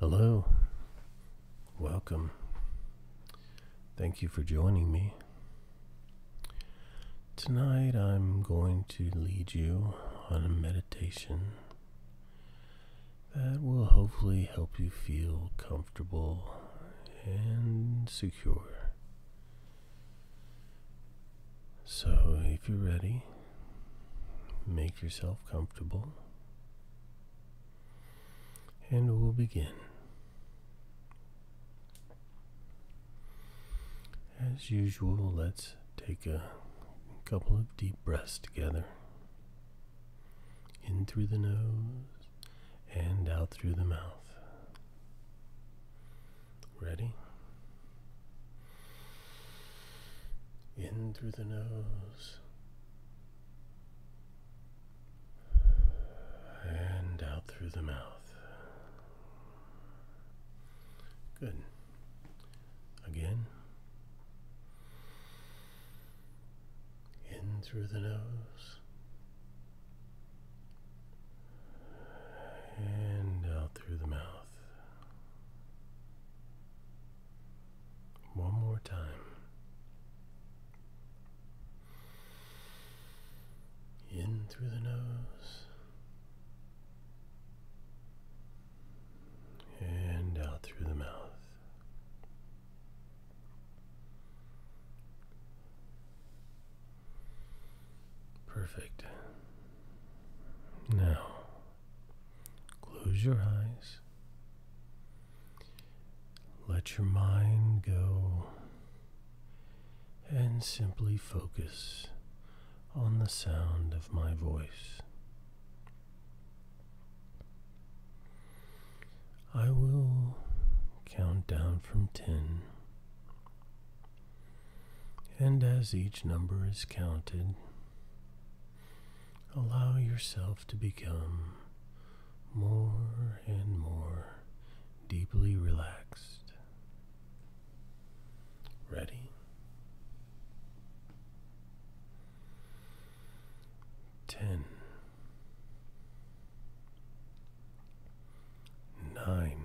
Hello. Welcome. Thank you for joining me. Tonight I'm going to lead you on a meditation that will hopefully help you feel comfortable and secure. So, if you're ready, Make yourself comfortable. And we'll begin. As usual, let's take a couple of deep breaths together. In through the nose and out through the mouth. Ready? In through the nose and out through the mouth. Good. Again. In through the nose and out through the mouth. One more time. In through the nose and out through the mouth. Perfect. Now Close your eyes. Let your mind go and simply focus on the sound of my voice. I will count down from 10 and as each number is counted, allow yourself to become more and more deeply relaxed. Ready? Ten. Nine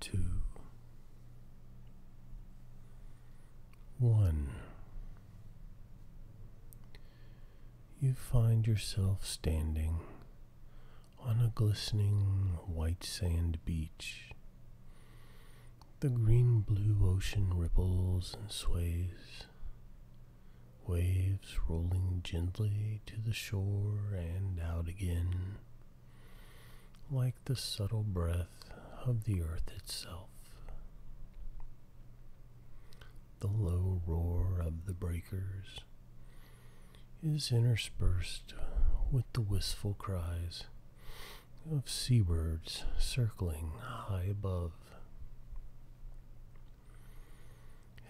two, one. You find yourself standing on a glistening white sand beach. The green blue ocean ripples and sways, waves rolling gently to the shore and out again, like the subtle breath of the earth itself. The low roar of the breakers is interspersed with the wistful cries of seabirds circling high above.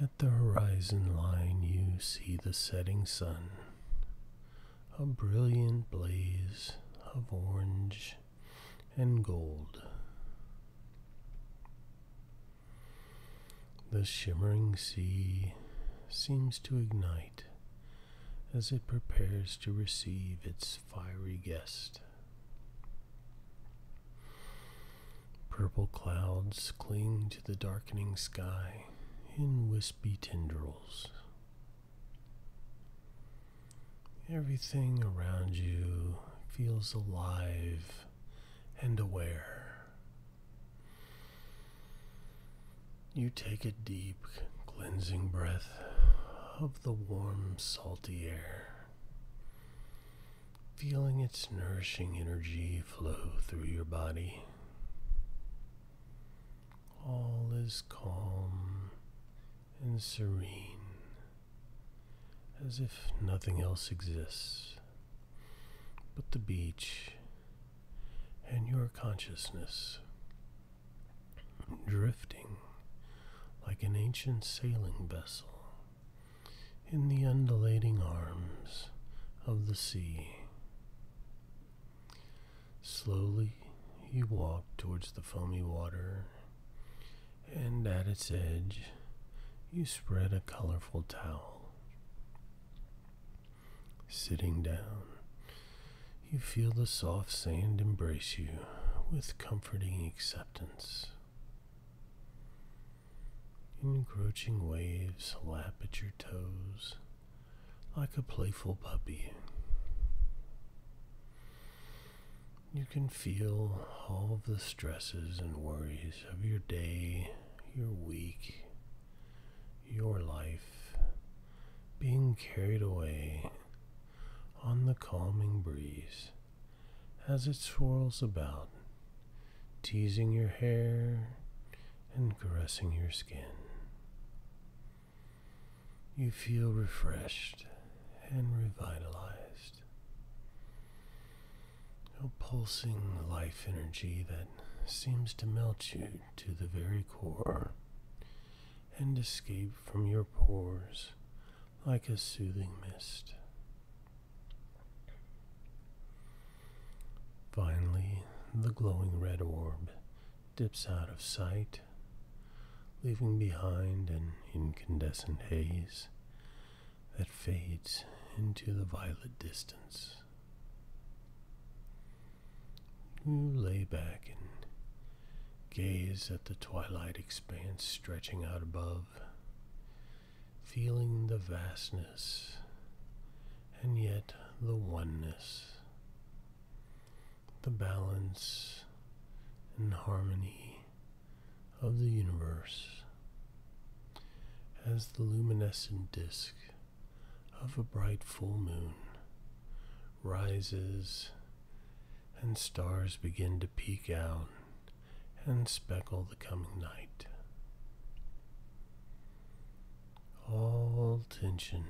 At the horizon line, you see the setting sun, a brilliant blaze of orange and gold. The shimmering sea seems to ignite as it prepares to receive its fiery guest. Purple clouds cling to the darkening sky in wispy tendrils. Everything around you feels alive and aware. You take a deep, cleansing breath of the warm, salty air feeling its nourishing energy flow through your body. All is calm and serene, as if nothing else exists but the beach and your consciousness drifting like an ancient sailing vessel in the undulating arms of the sea. Slowly you walk towards the foamy water, and at its edge you spread a colorful towel. Sitting down, you feel the soft sand embrace you with comforting acceptance. Encroaching waves lap at your toes like a playful puppy. You can feel all the stresses and worries of your day, your week, your life being carried away on the calming breeze as it swirls about, teasing your hair and caressing your skin. You feel refreshed and revitalized. A pulsing life energy that seems to melt you to the very core and escape from your pores like a soothing mist. Finally, the glowing red orb dips out of sight, leaving behind an incandescent haze that fades into the violet distance. You lay back and gaze at the twilight expanse stretching out above, feeling the vastness and yet the oneness, the balance and harmony of the universe as the luminescent disk of a bright full moon rises and stars begin to peek out and speckle the coming night. All tension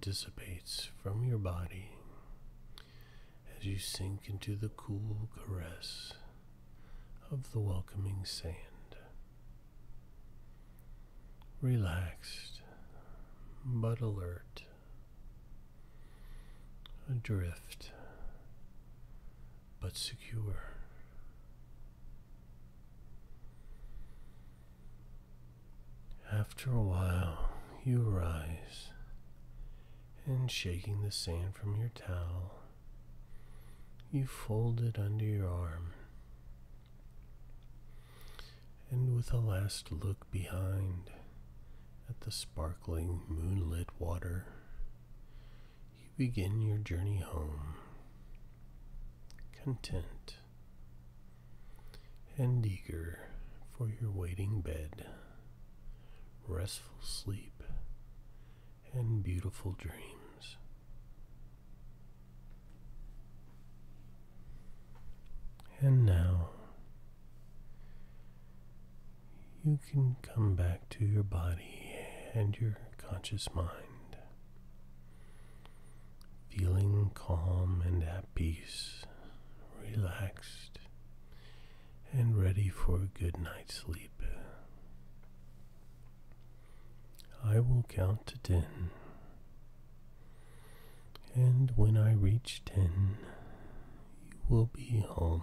dissipates from your body as you sink into the cool caress of the welcoming sand. Relaxed but alert, adrift but secure. After a while, you rise and shaking the sand from your towel, you fold it under your arm. And with a last look behind, at the sparkling moonlit water, you begin your journey home, content and eager for your waiting bed, restful sleep, and beautiful dreams. And now, you can come back to your body and your conscious mind, feeling calm and at peace, relaxed, and ready for a good night's sleep. I will count to ten. And when I reach ten, you will be home.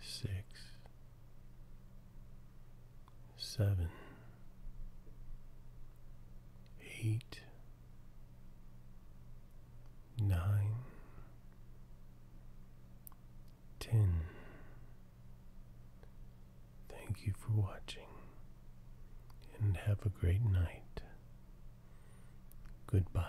six, seven, eight, nine, ten. Thank you for watching and have a great night. Goodbye.